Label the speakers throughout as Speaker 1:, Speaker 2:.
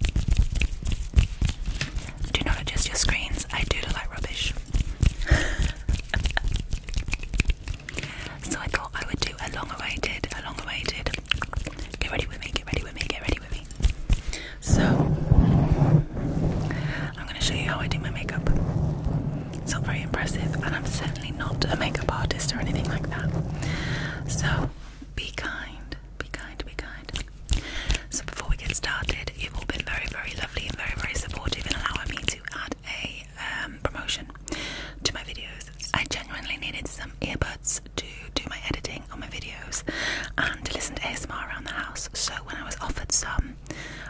Speaker 1: Do not adjust your screens. I do look like rubbish. so I thought I would do a long-awaited, a long-awaited. Get ready with me. Get ready with me. Get ready with me. So I'm going to show you how I do my makeup. It's not very impressive, and I'm certainly not a makeup artist or anything like that. So be kind be kind, be kind. So before we get started, you've all been very, very lovely and very, very supportive in allowing me to add a um, promotion to my videos. I genuinely needed some earbuds to do my editing on my videos and to listen to ASMR around the house. So when I was offered some,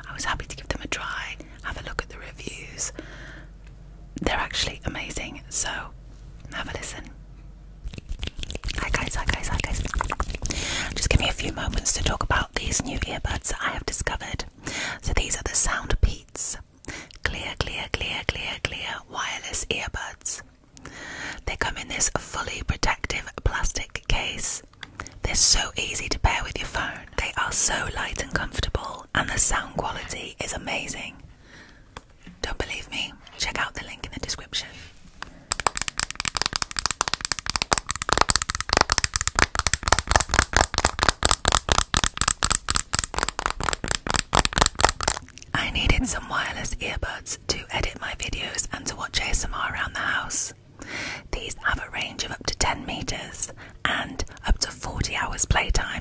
Speaker 1: I was happy to give them a try, have a look at the reviews. They're actually amazing, so have a listen. Hi guys, hi guys, hi guys. Just give me a few moments to talk about these new earbuds that I have discovered. So these are the Sound Peats Clear, Clear, Clear, Clear, Clear Wireless Earbuds. They come in this fully protective plastic case. They're so easy to pair with your phone. They are so light and comfortable, and the sound quality is amazing. Don't believe me? Check out the link in the description. I needed some wireless earbuds to edit my videos and to watch ASMR around the house. These have a range of up to 10 meters and up to 40 hours playtime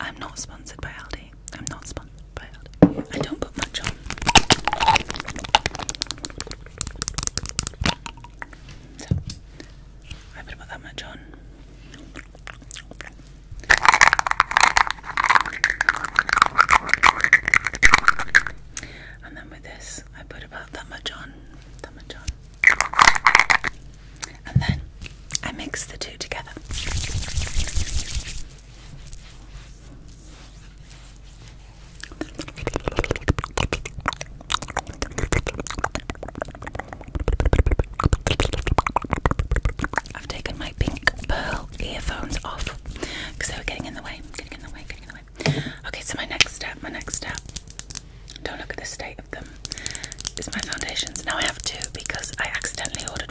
Speaker 1: I'm not sponsored by Aldi. I'm not sponsored by Aldi. I don't put much on. I would put that much on. And then with this, I put about that much on, that much on. And then I mix the two together. I've taken my pink pearl earphones off because they were getting in the way, getting in the way, getting in the way. Okay, so my next step, my next step. Don't look at the state of them. Is my foundations now? I have two because I accidentally ordered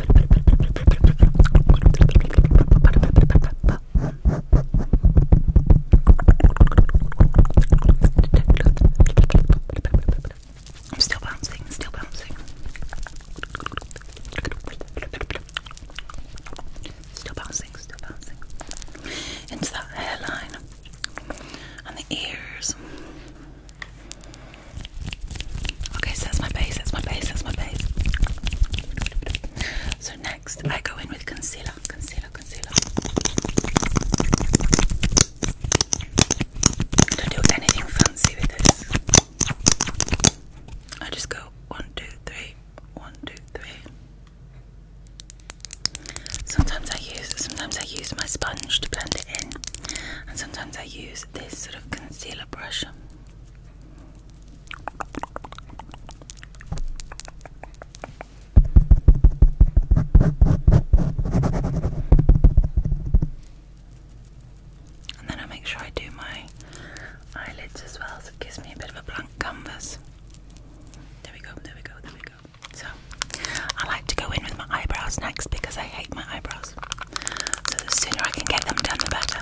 Speaker 1: I'm still bouncing, still bouncing. Still bouncing, still bouncing. Into that hairline. And the ears. Okay, so that's my base, that's my base, that's my base. So next I go in with concealer, concealer, concealer. I don't do anything fancy with this. I just go one, two, three, one, two, three. Sometimes I use sometimes I use my sponge to blend it in and sometimes I use this sort of concealer brush. And then I make sure I do my eyelids as well, so it gives me a bit of a blank canvas. There we go, there we go, there we go. So, I like to go in with my eyebrows next because I hate my eyebrows. So the sooner I can get them done, the better.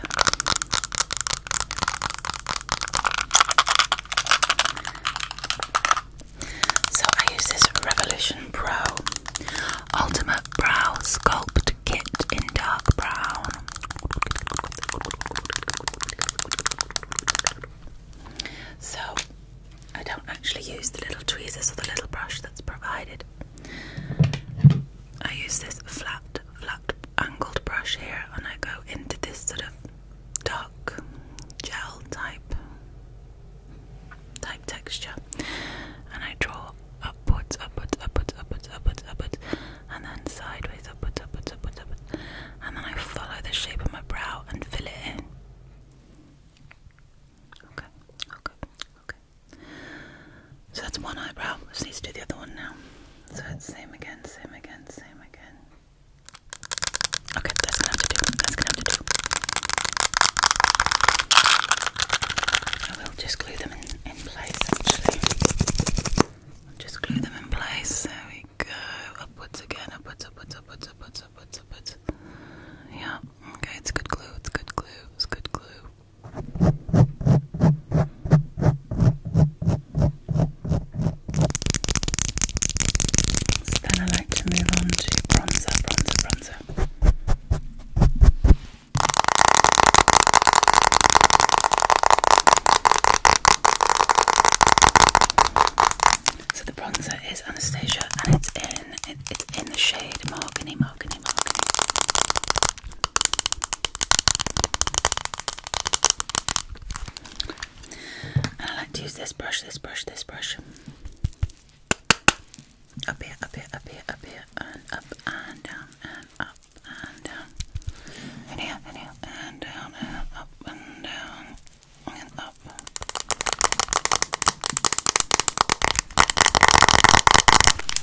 Speaker 1: So I use this Revolution Pro Ultimate Brow Sculpt Kit in dark brown. So I don't actually use the little tweezers or the little brush that's provided. I use this flat, flat angled brush here and I go into this sort of dark gel type type texture and I draw upwards, upwards, upwards, upwards, upwards, upwards, and then sideways, upwards, upwards, upwards, upwards, and then I follow the shape of my brow and fill it in. Okay, okay, okay, so that's one eyebrow. I just need to do the other one now. So it's same again, same again, same again. Okay, that's gonna have to do. That's gonna have to do. I will just glue them in, in place actually. I'll just glue them in place. There we go. Upwards again, upwards, upwards, upwards, upwards, upwards, upwards. Yeah. Okay, it's good glue, it's good glue, it's good glue. then I like to move on to bronzer, bronzer, bronzer. So the bronzer is Anastasia and it's in in it's in the shade mahogany, mahogany, mahogany. I like to use this brush, this brush, this brush. Up here, up here, up here, up here, and up and down and up and down. And here, and here, and down and up and down and up.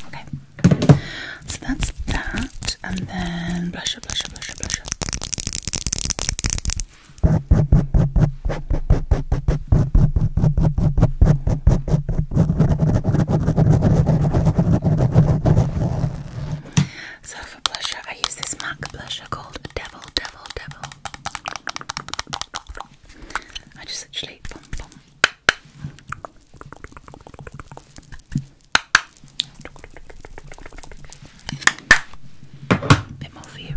Speaker 1: Okay. So that's that. And then blusher, blusher, blusher, blusher. So for blusher, I use this MAC blusher called Devil, Devil, Devil. I just actually. Bit more for you.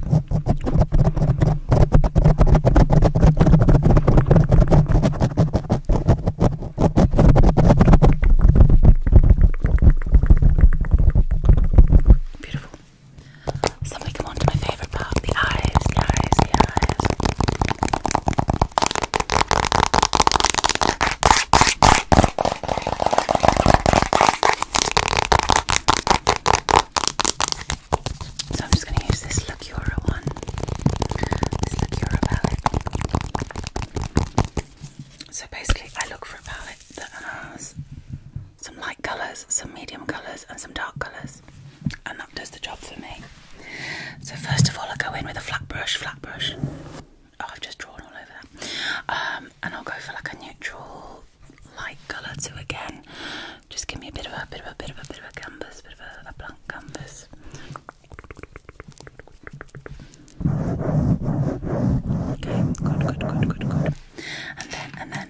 Speaker 1: Beautiful. So we come on to my favourite part, the eyes, the eyes, the eyes. So I'm just going to use this Lacura one, this Lacura palette. So basically I look for a palette that has some light colours, some medium colours, and some dark colours, and that does the job for me. So, first of all, I go in with a flat brush, flat brush. Oh, I've just drawn all over that. Um, and I'll go for like a neutral light colour to again just give me a bit of a bit of a bit of a bit of a canvas, bit of a, a blank canvas. Okay, good, good, good, good, good. And then and then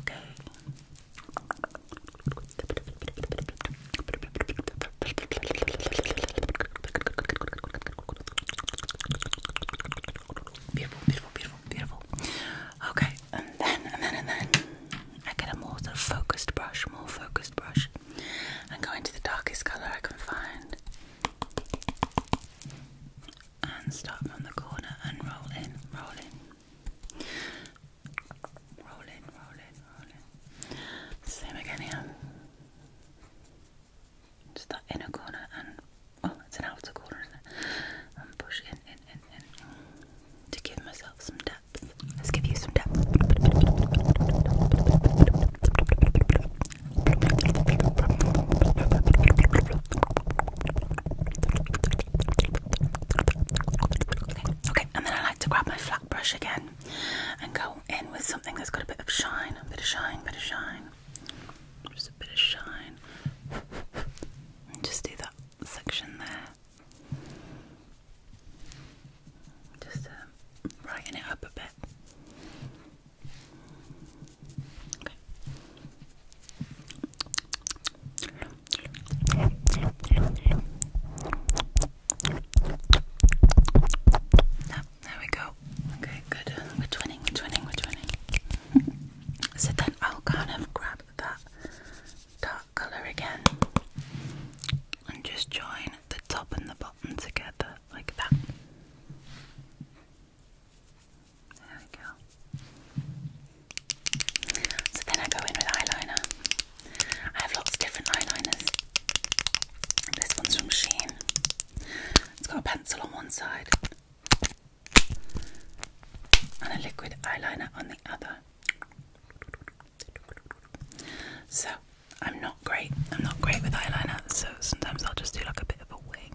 Speaker 1: okay? Beautiful, beautiful, beautiful, beautiful. Okay, and then, and then, and then, I get a more focused brush, more focused brush, and go into the darkest color I can find. And start from the corner and roll in, roll in, Roll it, roll it, roll it. Same again here. Just that inner corner and well, it's an outer corner, And push in, in, in, in to give myself some depth. Let's give you some depth. Okay, and then I like to grab my flat brush again and go in with something that's got a bit of shine, a bit of shine, a bit of shine, just a bit of shine. And just do that section there. Just uh, brighten it up a bit there we go. Okay, good. We're twinning, we're twinning, we're twinning. so then I'll kind of grab that dark colour again and just join the top and the bottom together like that. So then I go in with eyeliner. I have lots of different eyeliners. This one's from Sheen. It's got a pencil on one side and a liquid eyeliner on the other. So I'm not great. I'm not great with eyeliner, so sometimes I'll just do like a bit of a wing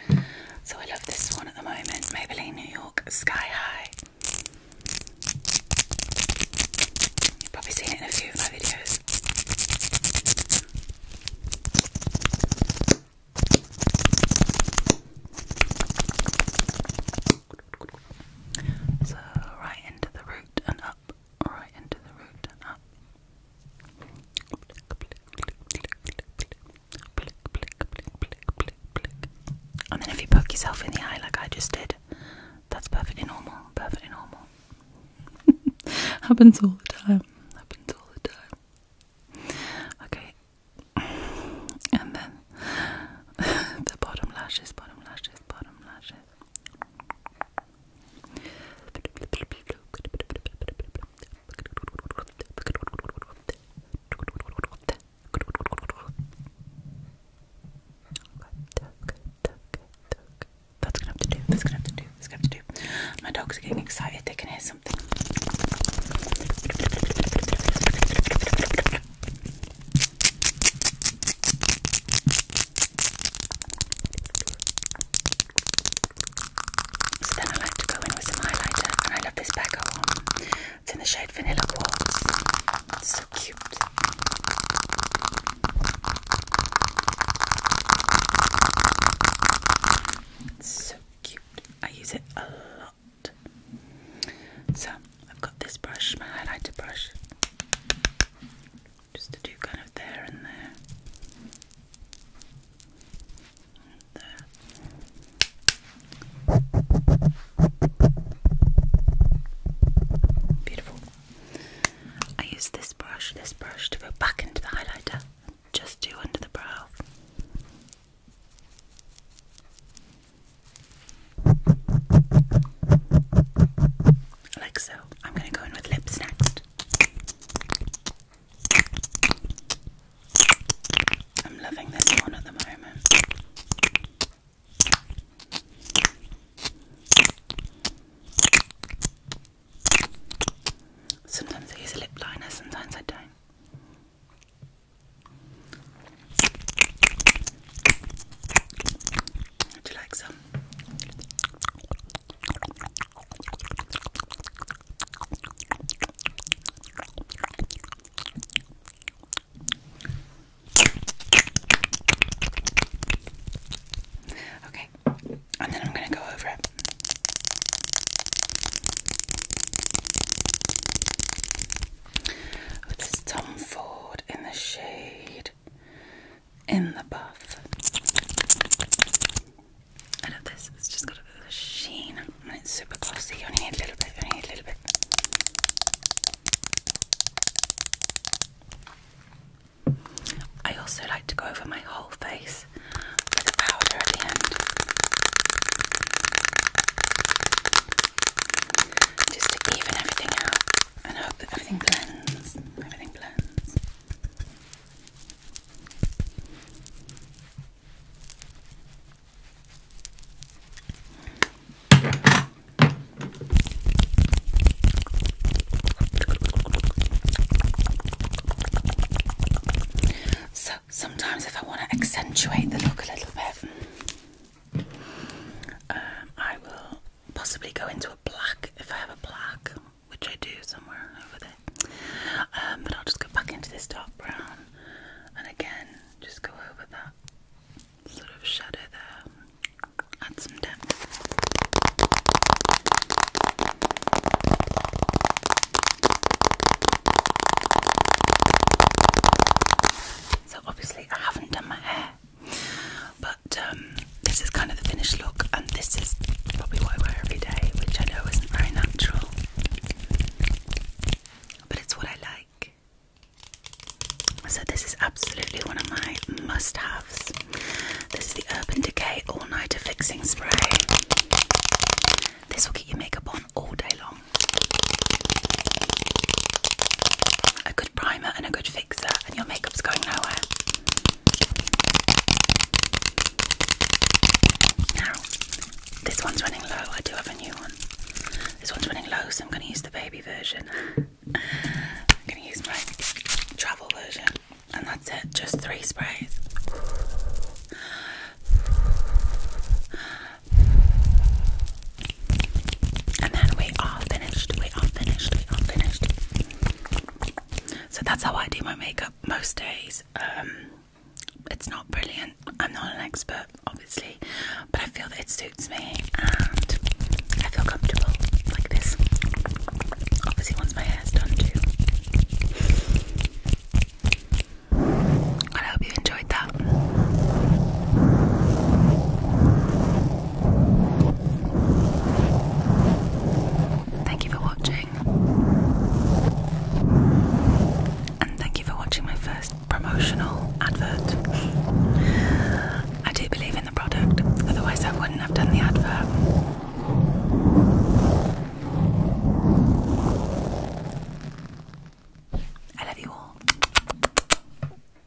Speaker 1: So I love this one at the moment Maybelline New York Sky High. You've probably seen it in a few of my videos. So, right into the root and up, right into the root and up. And then if you poke yourself in the eye like I just did, that's perfectly normal. Perfectly normal. Happens all the time. Happens all the time. Okay. And then the bottom lashes, bottom lashes, bottom lashes. That's gonna have to do. That's gonna have to do. That's gonna have to do. My dogs are getting excited. They can hear something. So then I like to go in with some highlighter, and I love this Becca one. It's in the shade Vanilla Quartz. It's so cute. so cute. I use it a lot. So I've got this brush, my highlighter brush, just to do kind of there and there. Beautiful. I use this brush, this brush to go back into the highlighter, just do under the brow. Like so. I'm going to go in with lips next. I'm loving this one at the moment. Sometimes I use a lip liner, sometimes I don't. Would you like some? Okay, and then I'm going to go over it. This is Tom Ford in the shade in the buff. I love this, it's just got a sheen and it's super glossy. You need a little bit, you need a little bit. I also like to go over my whole face with powder at the end. Just to even everything out and hope that everything blends. Everything blends. So sometimes, if I want to accentuate the look a little bit, um, I will possibly go into a black if I have a black which I do somewhere over there. Um, but I'll just go back into this dark brown and again just go over that sort of shadow there, add some depth. So, obviously, I haven't done my hair but um, this is kind of the finished look, and this is probably what I wear every day, which I know isn't very natural, but it's what I like. So, this is absolutely one of my must haves. This is the Urban Decay All Nighter Fixing Spray. This will keep your makeup on all day long. A good primer and a good and your makeup's going nowhere. Now, this one's running low. I do have a new one. This one's running low, so I'm going to use the baby version. I'm going to use my travel version, and that's it. Just three sprays. And then we are finished. We are finished finished. So that's how I do my makeup most days. Um, it's not brilliant. I'm not an expert, obviously, but I feel that it suits me and I feel comfortable like this. Obviously, once my hair's done, too. I hope you enjoyed that. Thank you for watching. And thank you for watching my first promotional advert. I do believe in the product, otherwise, I wouldn't have done the advert. I love you all.